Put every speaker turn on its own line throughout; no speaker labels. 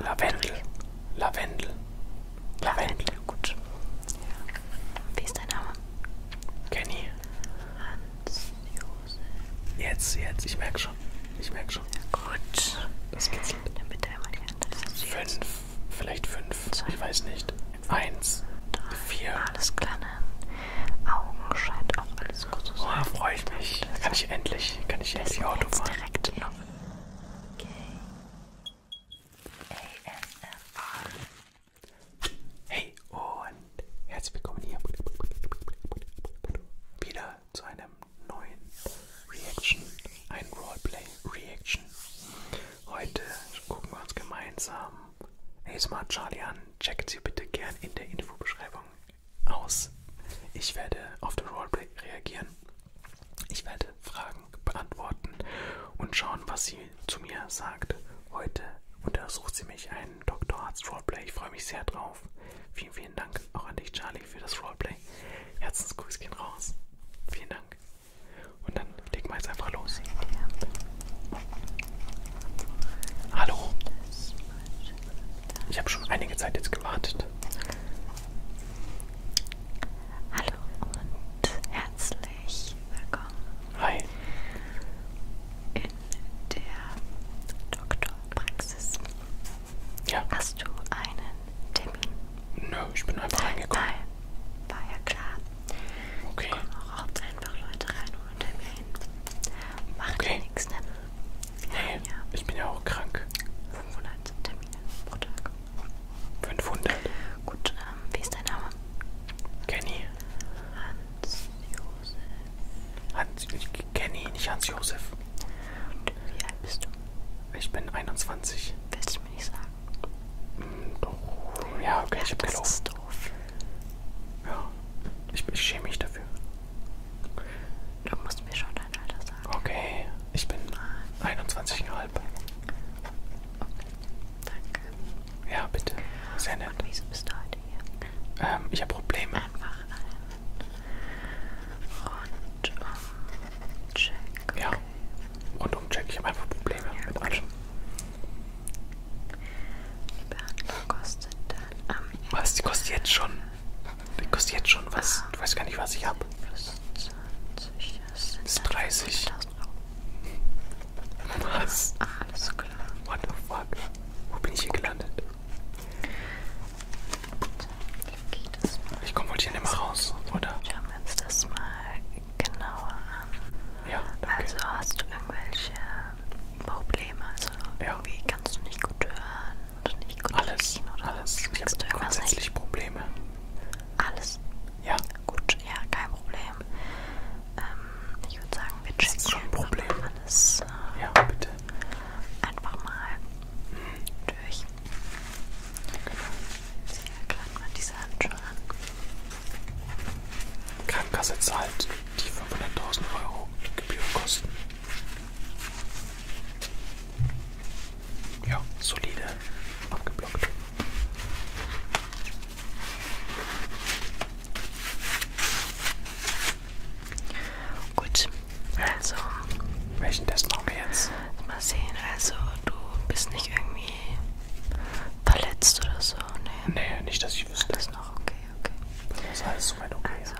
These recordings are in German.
Lavendel. Lavendel. Lavendel. Gut. Ja. Wie ist dein Name? Kenny. Hans Josef. Jetzt, jetzt. Ich merke schon. Ich merke schon. Ja, gut. Das geht's. Dann bitte einmal die Hand. Fünf. Vielleicht fünf. Zwei. Ich weiß nicht. Eins. Drei. Vier. Alles klar. Augen scheint auch alles gut zu sein. Oh, freue ich mich. Das kann ich endlich, kann ich endlich Auto fahren. Direkt noch. Okay. ASMR. Hey und herzlich willkommen hier wieder zu einem neuen Reaction, ein Roleplay Reaction. Heute gucken wir uns gemeinsam ASMR Charlie an. Checkt sie bitte gern in der Infobeschreibung aus. Ich werde auf den Roleplay reagieren. Ich werde Fragen beantworten und schauen, was sie zu mir sagt. Heute untersucht sie mich einen Doktorarzt Roleplay. Ich freue mich sehr drauf. Vielen, vielen Dank auch an dich, Charlie, für das Roleplay. Herzensgrüß gehen raus. Vielen Dank. Und dann legen wir jetzt einfach los. Hallo. Ich habe schon einige Zeit jetzt gewartet. Hallo und herzlich willkommen. Hi. In der Doktorpraxis. Ja. Hast du einen Termin? Nö, ich bin einfach reingekommen. Nein, war ja klar. Okay. Komm auch oft einfach Leute rein und erwähnen. Macht okay. nichts, ne? Nee, ja. ich bin ja auch krank. 500 Termine pro Tag. 500? Gut, ähm, wie ist dein Name? Kenny. Hans-Josef. Hans, Kenny, nicht Hans-Josef. Und wie alt bist du? Ich bin 21. Willst du mir nicht sagen? Mm, doch. Ja, okay, ja, ich hab das gelogen. Das ist doof. Ja, ich, ich schäme mich dafür. Du musst mir schon dein Alter sagen. Okay, ich bin 21,5. Okay, danke. Ja, bitte. Sehr nett. Und wieso bist du heute hier? Ähm, ich habe Probleme. Einfach ein Rundumcheck. Okay. Ja, Rundumcheck. Ich habe einfach Probleme ja, mit allem. Die Behandlung kostet dann am Ende Was? Die kostet jetzt schon? Die kostet jetzt schon was? Du ah. weißt gar nicht, was ich habe. Plus 20, das sind das ist 30. Was? Alles klar. What the fuck? Wo bin ich hier gelandet? Dann geht es mal. Ich komme wohl hier nicht mehr raus, oder? Schauen wir uns das mal genauer an. Ja, danke. Also hast du irgendwelche Probleme? Also ja. irgendwie kannst du nicht gut hören und nicht gut Alles, riechen, oder alles. Ich habe grundsätzlich nicht? Probleme. Alles? Ja. Gut, ja, kein Problem. Ähm, ich würde sagen, wir checken das ist schon ein Problem. alles. Äh, ja, bitte. Einfach mal mhm. durch. Genau. Sehr klein mal diese Handschuhe an. Krankenkasse zahlt die 500.000 Euro Gebührenkosten. Ja, solide abgeblockt. Gut, also. Welchen Test machen wir jetzt? Mal sehen, also du bist nicht irgendwie verletzt oder so, ne? Nee, nicht, dass ich wüsste. Alles noch okay, okay. Das ist alles soweit okay. Also,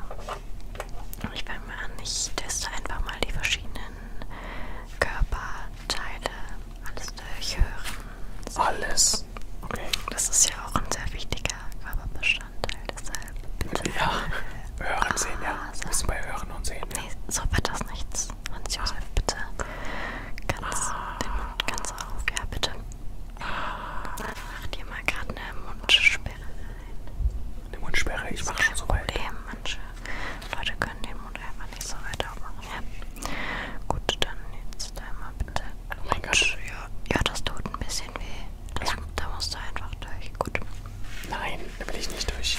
ich fange mal an. Ich teste einfach mal die verschiedenen Körperteile. Alles durchhören. So. Alles? Okay. Das ist ja auch ein sehr wichtiger Körperbestandteil, deshalb. Ja, äh, hören, sehen, ja. Bist du bei hören und sehen? Ja. Nee, so wird das nichts. Hans Josef, bitte. Ganz, ah. den Mund ganz auf, ja bitte. Mach dir mal gerade eine Mundsperre rein. Eine Mundsperre, ich mache schon so weit. Problem. Manche Leute können den Mund einfach nicht so weit aufmachen. Ja. Gut, dann jetzt einmal bitte. Oh mein Gott. Ja, ja, das tut ein bisschen weh. Das, ja. Da musst du einfach durch. Gut. Nein, da bin ich nicht durch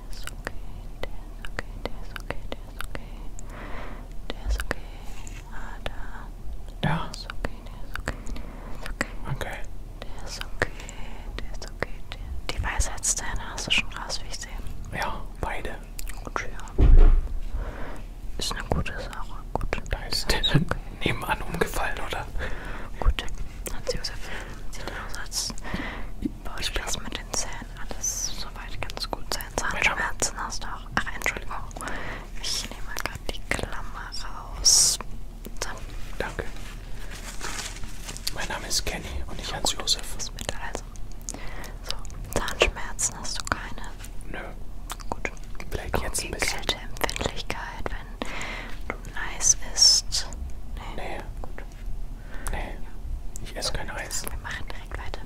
Der ist okay, der ist okay, der ist okay, der ist okay. Der ist okay. Ah, da. Ja. Der ist okay, der ist okay, der ist okay. Okay. Der ist okay, der ist okay. Der. Die Weisheitszähne hast du schon raus, wie ich sehe. Ja, beide. Gut, ja. Ist eine gute Sache. Gut. Da ist der, der ist okay. nebenan umgefallen, oder? Gute Hans-Josef sieht aus, als würde das mit den Zähnen alles soweit ganz gut sein. Zahnschmerzen hast du auch. Ach, Entschuldigung. Ich nehme mal gerade die Klammer raus. So. Danke. Mein Name ist Kenny und ich Hans-Josef. Also. So, Zahnschmerzen hast du keine? Nö. Gut. Vielleicht okay, jetzt ein bisschen. Kälteempfindlichkeit, wenn du nice isst. Nee. nee. Gut. Nee, ich esse kein Eis. Wir machen direkt weiter.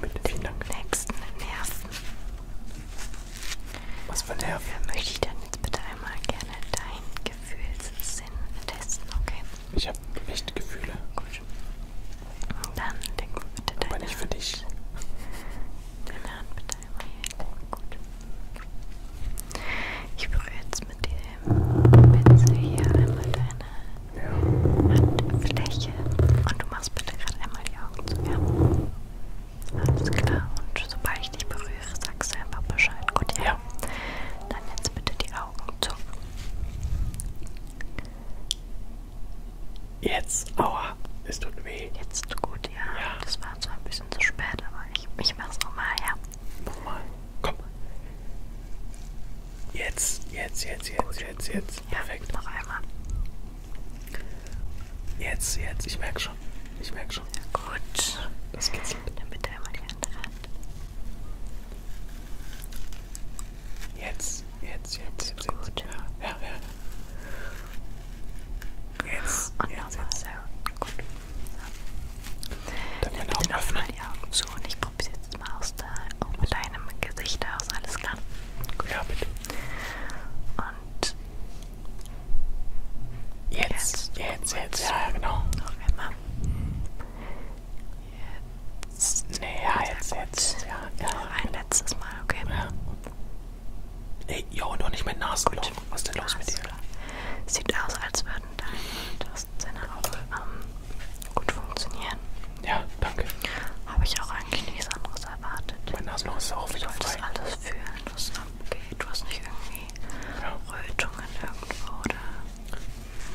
Bitte, vielen Dank. Nächsten Nerven. Was für Nerven? Dafür möchte ich dann jetzt bitte einmal gerne deinen Gefühlssinn testen, okay? Ich habe echt Gefühle. Gut. Dann denk bitte deine Aber nicht für dich. Deine Hand bitte einmal hier. Gut. Ich berühre jetzt mit dem Pinsel hier einmal deine Handfläche und du machst bitte gerade einmal die Augen zu. Ja. Alles klar. Und sobald ich dich berühre, sagst du einfach Bescheid. Gut, ja. Dann jetzt bitte die Augen zu. Jetzt, aua, es tut weh. Jetzt gut, ja. ja. Das war zwar ein bisschen zu spät, aber ich, ich mach's nochmal, ja. Nochmal. Komm. Jetzt, jetzt, jetzt, jetzt, Gut. jetzt, jetzt. Ja, Perfekt. Noch einmal. Jetzt, jetzt. Ich merke schon. Ich merke schon. Ja, gut. Das kitzelt. Dann bitte einmal die andere Hand. Jetzt, jetzt, jetzt, jetzt, jetzt. Gut. Ja, ja, ja. Jetzt, Und jetzt, jetzt. So. Gut. Dann ja, bitte auf meine Augen zu und ich probiere es jetzt mal aus da, auch mit deinem Gesicht aus, alles klar? Gut. Ja, bitte. Und jetzt, jetzt, jetzt, jetzt. ja genau. Noch einmal. Jetzt. Nee, ja, jetzt, jetzt, jetzt. Ja, ja. Noch ein letztes Mal, okay? Ja. Ey, yo, noch nicht mein Nasenloch. Was ist denn los mit dir? Sieht aus, als würden deine Tastensinne auch ähm, gut funktionieren. Ja, danke. Habe ich auch eigentlich nichts anderes erwartet. Mein Nasenloch ist auch wieder frei. Du alles fühlen, was abgeht. Du hast nicht irgendwie ja. Rötungen irgendwo oder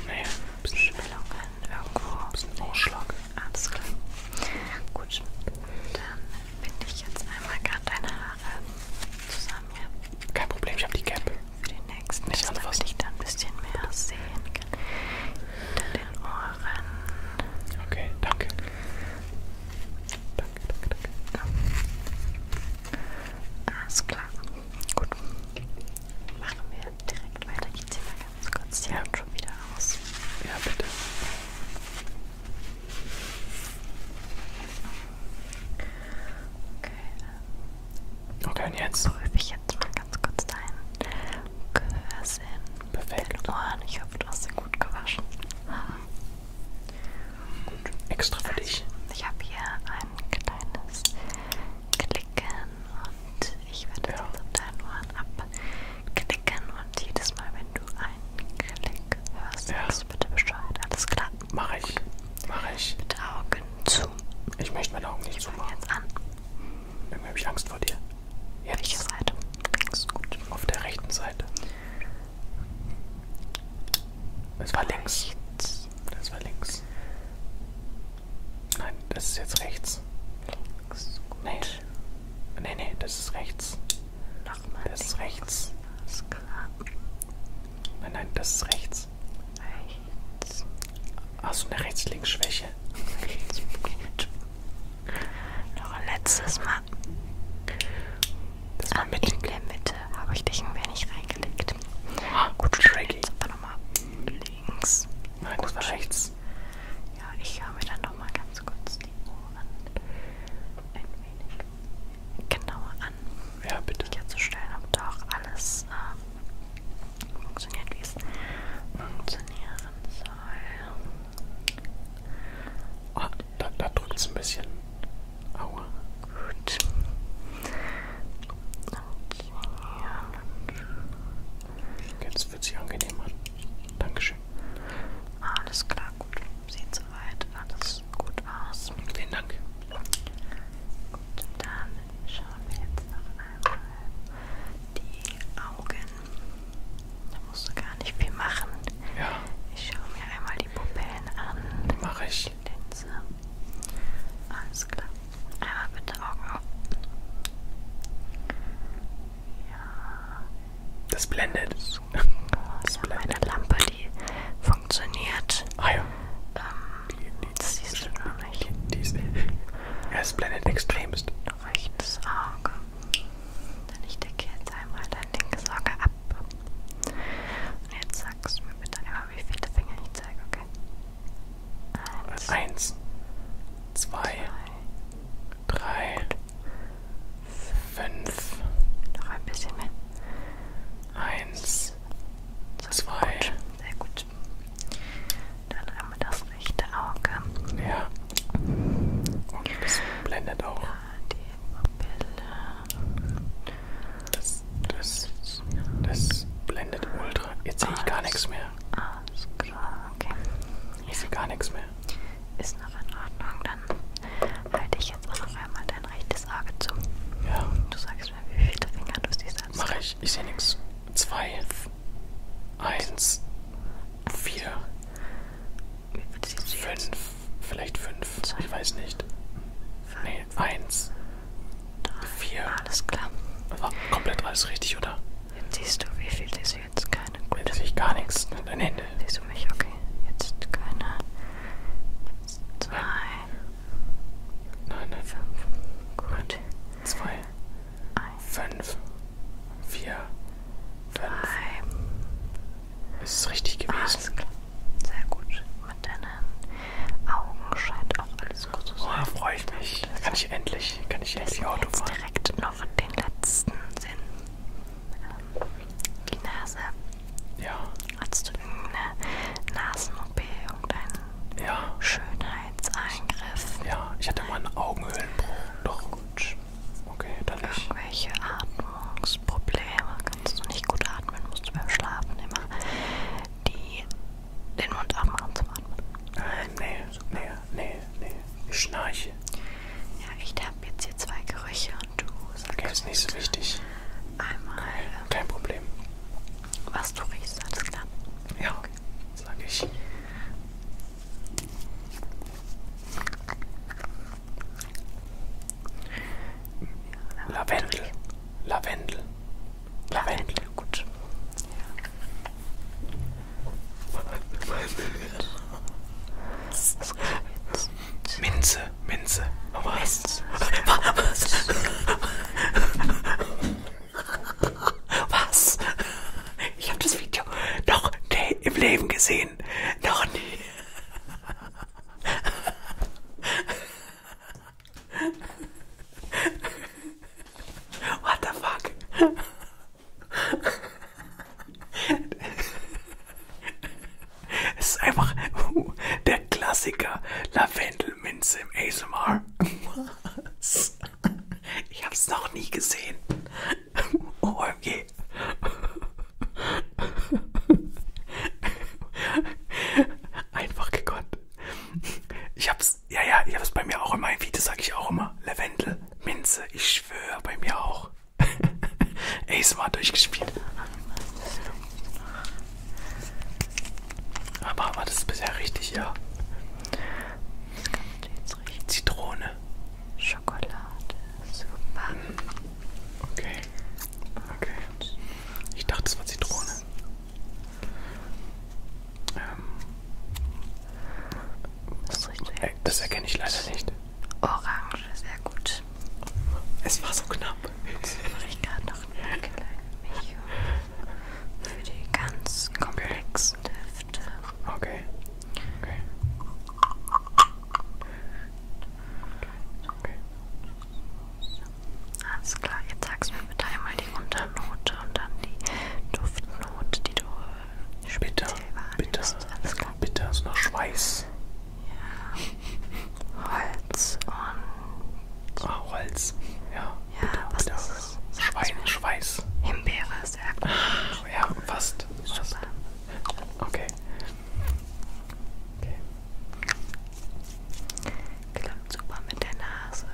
naja, Schwellungen irgendwo. Ein bisschen Ausschlag. Alles klar. Gut, dann binde ich jetzt einmal gerade deine Haare zusammen. Ja? Kein Problem, ich habe die Cap. Für den nächsten, Nicht damit anfassen. ich da ein bisschen mehr sehen kann. Hinter den Ohren. Okay, danke. Danke, danke, danke. Ja. Alles klar. Gut. Machen wir direkt weiter. Ich ziehe mal ganz kurz die ja. Hand schon wieder aus. Ja, bitte. Okay, okay und jetzt prüfe ich jetzt mal ganz kurz dein Gehörsinn. Perfekt. Ohren. Ich hoffe, du hast sie gut gewaschen. Gut, extra für also, dich. Ich habe hier ein kleines Klicken und ich werde ja. jetzt auf deinen Ohren abklicken und jedes Mal, wenn du ein Klick. Hörst du ja. das bitte Bescheid? Alles klar. Mach ich. Mach ich. Mit Augen zu. Ich möchte meine Augen nicht zumachen. Jetzt an. Irgendwie habe ich Angst vor dir. Jetzt. Welche Seite? Links gut. Auf der rechten Seite. Das war links. Rechts. Das war links. Nein, das ist jetzt rechts. Links. Gut. Nee. Nee, nee, das ist rechts. Nochmal. Das ist rechts. Ist klar. Nein, nein, das ist rechts. Rechts. Achso, eine Rechts-Links-Schwäche. Rechts. Noch ein letztes Mal. Das war ah, mittig. In der Mitte habe ich dich ein wenig reingelegt. Ah, gut, Shaggy. Jetzt aber nochmal links. Nein, gut, das war rechts. Ja, ich habe mir dann nochmal ganz kurz die Ohren ein wenig genauer an. Ja, bitte. Herzustellen, ob da auch alles äh, funktioniert, wie es funktionieren soll. Oh, da, da drückt es ein bisschen. Aua. Gut. Okay. Jetzt wird sie angenehm an. Dankeschön. Alles klar, gut. Sieht soweit alles gut aus. Vielen Dank. Gut, dann schauen wir jetzt noch einmal die Augen. Da musst du gar nicht viel machen. Ja. Ich schaue mir einmal die Pupillen an. Mache ich. Die Linse. Alles klar. Einmal bitte Augen auf. Ja. Das blendet das? Ich habe eine Lampe, die funktioniert. Ah ja. Ähm, die, die, das siehst du noch nicht. Die, die ist, er ist blendet extremst. Rechtes Auge. Denn ich decke jetzt einmal dein linkes Auge ab. Und jetzt sagst du mir bitte einmal, wie viele Finger ich zeige, okay? Eins. Eins. Zwei. zwei. Drei. Gut fünf, noch ein bisschen mehr. Eins, so, zwei. Gut. Sehr gut. Dann einmal das rechte Auge. Ja. Und das blendet auch. Ja, die Pupille. Das, das, das blendet ultra. Jetzt sehe ich gar nichts mehr. Alles klar, okay. Ich sehe gar nichts mehr. Ist noch in Ordnung, dann halte ich jetzt auch noch einmal dein rechtes Auge zu. Ja. Du sagst mir, wie viele Finger du siehst. Mache ich, ich sehe nichts. Zwei, eins, vier, fünf, vielleicht fünf, Zwei. ich weiß nicht. Fünf. Nee, eins, Drei. vier. Alles klar. War komplett alles richtig, oder? Siehst du, wie viel siehst du jetzt keine? Gut. Jetzt sehe ich gar nichts. Dein Hände. Siehst du mich? Okay. Jetzt keine. Jetzt zwei. Nein, nein. Fünf. Gut. Zwei. Eins. Fünf. Vier. Fünf. Drei. Ist es richtig gewesen? Ah, Sehr gut. Mit deinen Augen scheint auch alles gut zu sein. Oh, freue ich mich. Kann ich endlich, kann ich endlich Auto fahren. Direkt noch den letzten Sinn. Ähm, die Nase. Ja. Hattest du eine Nasen-OP, irgendeinen ja. Schönheitseingriff? Ja, ich hatte mal einen Augenhöhlenbruch. Doch, gut. Okay, dann nicht. Irgendwelche Atmungsprobleme. Kannst du nicht gut atmen, musst du beim Schlafen immer die, den Mund aufmachen zum Atmen. Äh, nee. So. Nee, nee, nee. Ich schnarche. Ja, ich habe jetzt hier zwei Gerüche und du sagst. Okay, ist nicht so wichtig. Einmal. Okay, ähm, kein Problem. Was du riechst, alles klar. Ja, okay. sag ich. Ja, Lavendel. Lavendel. Lavendel. Lavendel, gut. Ja. Minze, Minze. Was? Was? Was? Ich habe das Video noch nie im Leben gesehen. Noch nie. What the fuck? es ist einfach uh, der Klassiker Lavendelminze im ASMR. Was? Ich hab's noch nie gesehen. OMG. Einfach gekonnt. Ich hab's das, ja, ja, ich habe es bei mir auch immer, wie das sage ich auch immer, Lavendel, Minze, ich schwöre, bei mir auch. Ey, ist mal durchgespielt. Aber, aber das ist bisher richtig, ja. Das Zitrone. Schokolade. Super. Okay. Okay. Ich dachte, es war Zitrone. Ähm, das riecht sehr äh, Das erkenne ich leider nicht. Orange, sehr gut. Es war so knapp. Jetzt mache ich gerade noch ein Video für die ganz komplexen okay. Düfte. Okay. Okay. Okay. Alles klar, jetzt sagst du mir bitte einmal die Unternote und dann die Duftnote, die du bitter, bitter, bitter ist noch Schweiß. Ja. Holz und. Ah, Holz. Ja. Ja, bitter, was bitter. Ist das? Schwein, Schweiß. Himbeere ist sehr gut. Ah, ja, fast. fast. Super. Okay. okay. Klappt super mit der Nase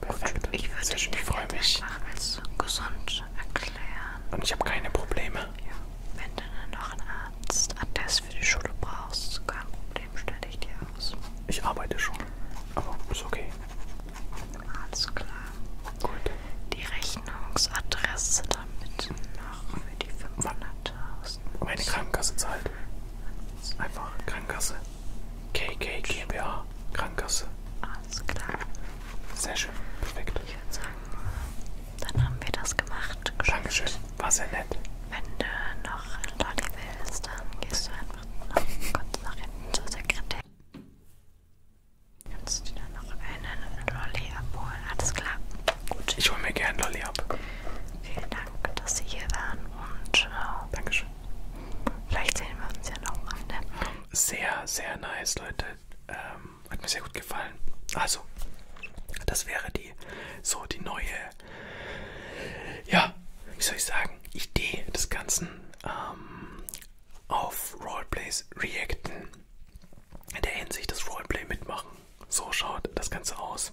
Perfekt. Gut, ich würde dich freue mich. als gesund erklären. Und ich habe keine Probleme. Ja. Wenn du dann noch einen Arzt, Attest für die Schule brauchst, kein Problem, stelle ich dir aus. Ich arbeite schon, aber ist okay. Alles klar. Gut. Die Rechnungsadresse damit noch für die 500.000. Meine Krankenkasse zahlt. Einfach Krankenkasse. KK GmbH, Krankenkasse. Alles klar. Sehr schön, perfekt. Ich würde sagen, dann haben wir das gemacht. Geschafft. Dankeschön, war sehr nett. Wenn du noch Lolli willst, dann gehst du einfach noch kurz nach hinten zur Sekretärin. Kannst du dir noch einen Lolli abholen? Alles klar. Gut. Ich hole mir gerne Lolli ab. Vielen Dank. Dank, dass Sie hier waren und äh, Dankeschön. vielleicht sehen wir uns ja nochmal. Ne? Sehr, sehr nice, Leute. Ähm, hat mir sehr gut gefallen. Also, das wäre die so die neue, ja, wie soll ich sagen, Idee des Ganzen ähm, auf Roleplays reacten. In der Hinsicht das Roleplay mitmachen. So schaut das Ganze aus.